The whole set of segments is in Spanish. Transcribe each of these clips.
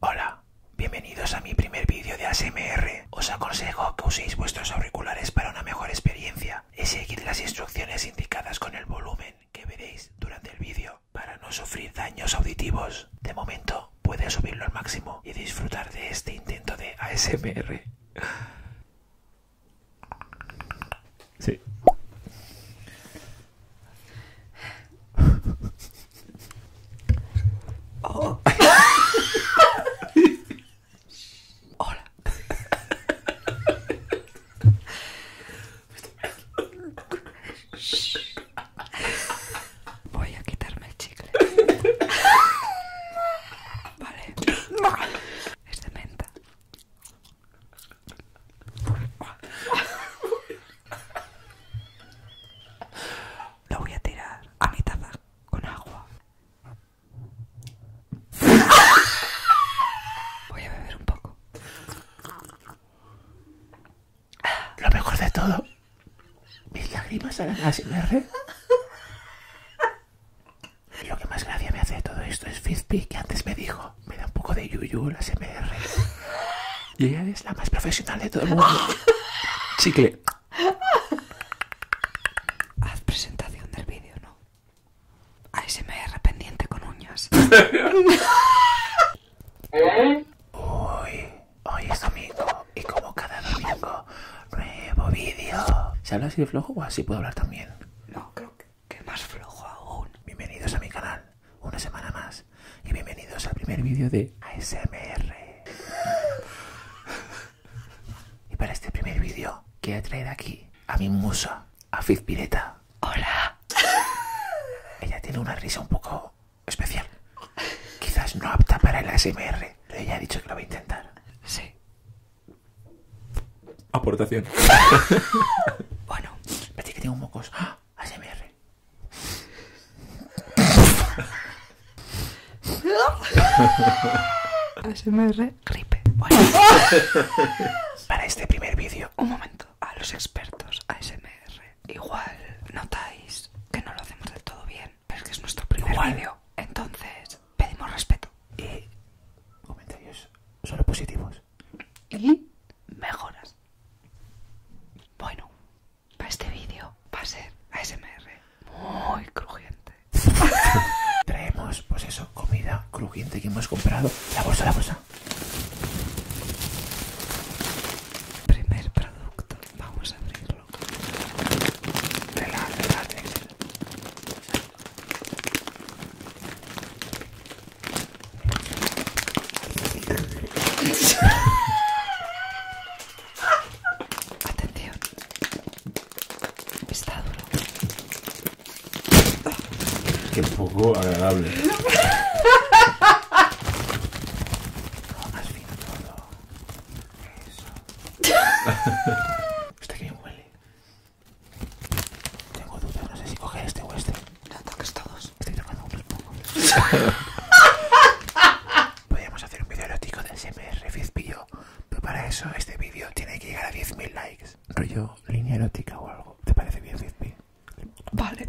Hola, bienvenidos a mi primer vídeo de ASMR. Os aconsejo que uséis vuestros auriculares para una mejor experiencia y seguid las instrucciones indicadas con el volumen que veréis durante el vídeo para no sufrir daños auditivos. De momento, puedes subirlo al máximo y disfrutar de este intento de ASMR. Hola. Voy a quitarme el chicle. Vale. Es de menta. Lo voy a tirar a mi taza con agua. Voy a beber un poco. Lo mejor de todo, mis lágrimas a así. Y lo que más gracia me hace de todo esto es fifty que antes me dijo me da un poco de yuyu la SMR. Y ella es la más profesional de todo el mundo. Chicle. Haz presentación del vídeo, ¿no? ASMR pendiente con uñas. Uy, hoy es domingo y como cada domingo, nuevo vídeo. ¿Se habla así de flojo o así puedo hablar también? No, creo que ¿Qué más flojo aún. Bienvenidos a mi canal, una semana más. Y bienvenidos al primer vídeo de ASMR. y para este primer vídeo, quiero traer aquí a mi musa, a Fiz ¡Hola! Ella tiene una risa un poco especial. Quizás no apta para el ASMR, pero ella ha dicho que lo va a intentar. Sí. Aportación. bueno, que tengo mocos. ASMR. ¡Ah! ASMR Para este primer vídeo, un momento. A los expertos ASMR. Igual notáis que no lo hacemos del todo bien. Pero es que es nuestro primer vídeo. Entonces, pedimos respeto. Y comentarios solo positivos y mejoras. Bueno, para este vídeo va a ser ASMR muy crujiente. Traemos, pues eso, comida crujiente que hemos comprado. La bolsa, la bolsa. Primer producto, vamos a abrirlo. Atención. Está duro. Qué poco agradable. huele. Tengo dudas, no sé si coger este o este. No toques todos. Estoy tomando un poco. Podríamos hacer un vídeo erótico de SMR Fizpillo, pero para eso este vídeo tiene que llegar a 10.000 likes. Rollo línea erótica o algo. ¿Te parece bien, Fizpi? Vale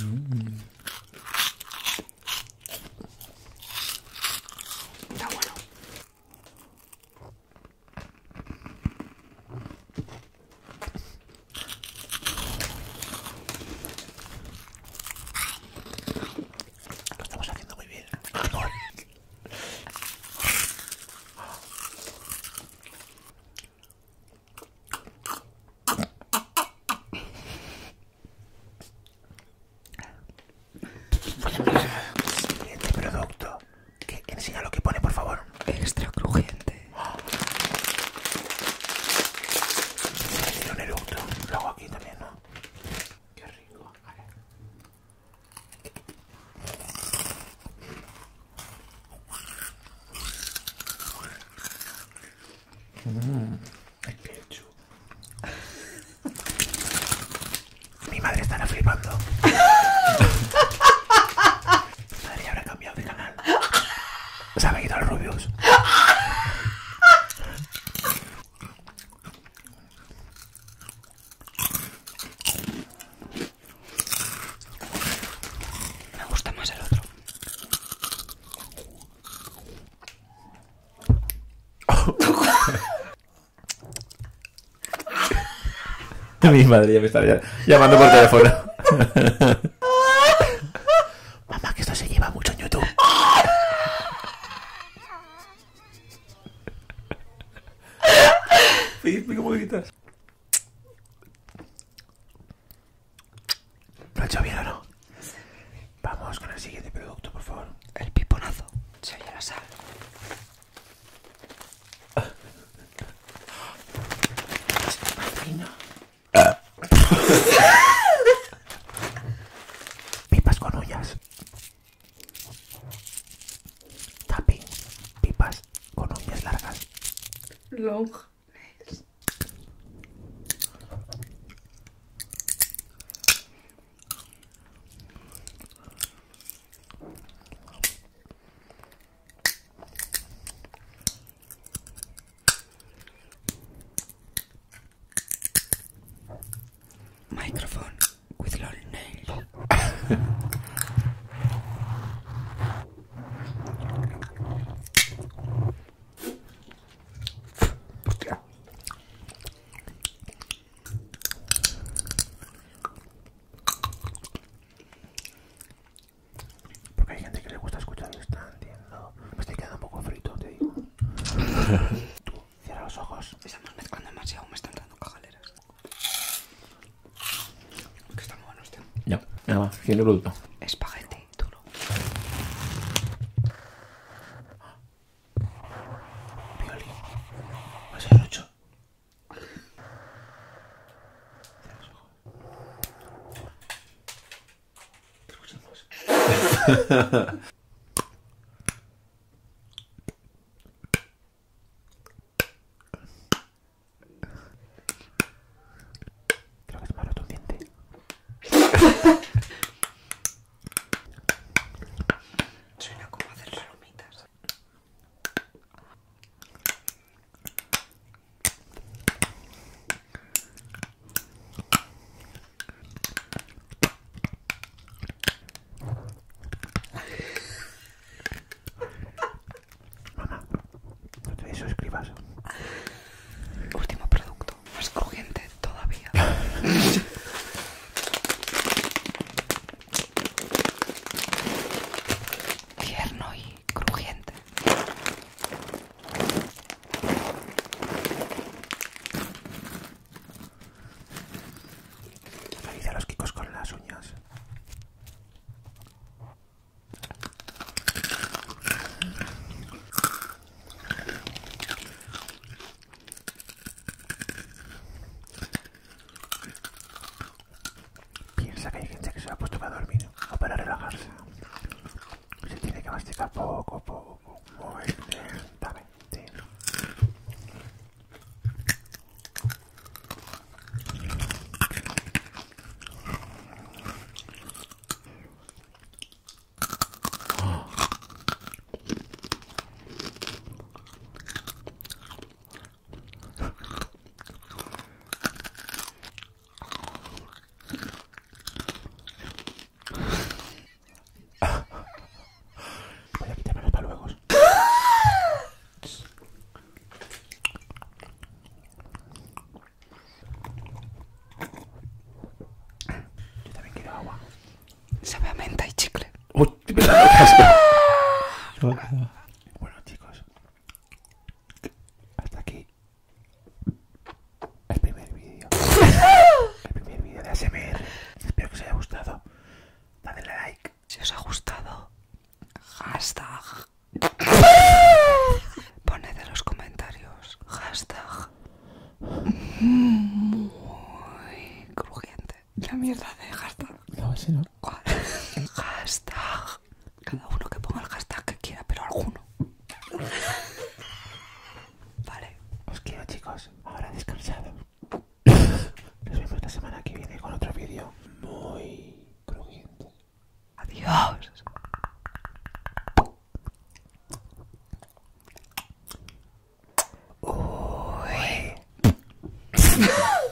bueno. Lo estamos haciendo muy bien. Siguiente producto. Que, que enseña lo que pone, por favor. Extra crujiente. Tiene un eructo. Lo hago aquí también, ¿no? Qué rico. Vale. Mm, Mi madre estará flipando. Mi madre habrá cambiado de canal. Se ha ido los rubios. Me gusta más el otro. Mi madre ya me estaría llamando por teléfono. Mamá, que esto se lleva mucho en YouTube. Sí, ¿cómo ¿Lo ha hecho bien o no? Vamos con el siguiente producto, por favor. El piponazo. Se oye la sal. Pipas con uñas. Tapping, pipas con uñas largas. Long Microphone with long nails. Hostia. Porque hay gente que le gusta escuchar y está entiendo. Me estoy quedando un poco frito, te digo. Tú, cierra los ojos. Estamos mezclando demasiado, me están dando cajaleras. Que está muy bueno este. Ya, nada más, tiene producto. Espagueti duro. Violín. mucho? a los ojos Creo que se me ha diente. Suena como hacer palomitas. Mamá, no te Último producto, más crujiente todavía. y crujiente. a los kikos con las uñas. Piensa que hay gente que se ha puesto para dormir o para relajarse. Se tiene que masticar poco, a poco, muy lentamente. Voy a quitarme los paluegos. Yo también quiero agua. Sabe a menta y chicle. Bueno, chicos, hasta aquí el primer vídeo. El primer vídeo de ASMR. Espero que os haya gustado. Dadle like. Si os ha gustado, hashtag. Poned en los comentarios. Hashtag. Muy crujiente. La mierda de hashtag. No, Hashtag. Cada uno que ponga el hashtag que quiera, pero alguno. Vale. Os quiero chicos. Ahora descansado. Nos vemos la semana que viene con otro vídeo muy crujiente. Adiós. Uy.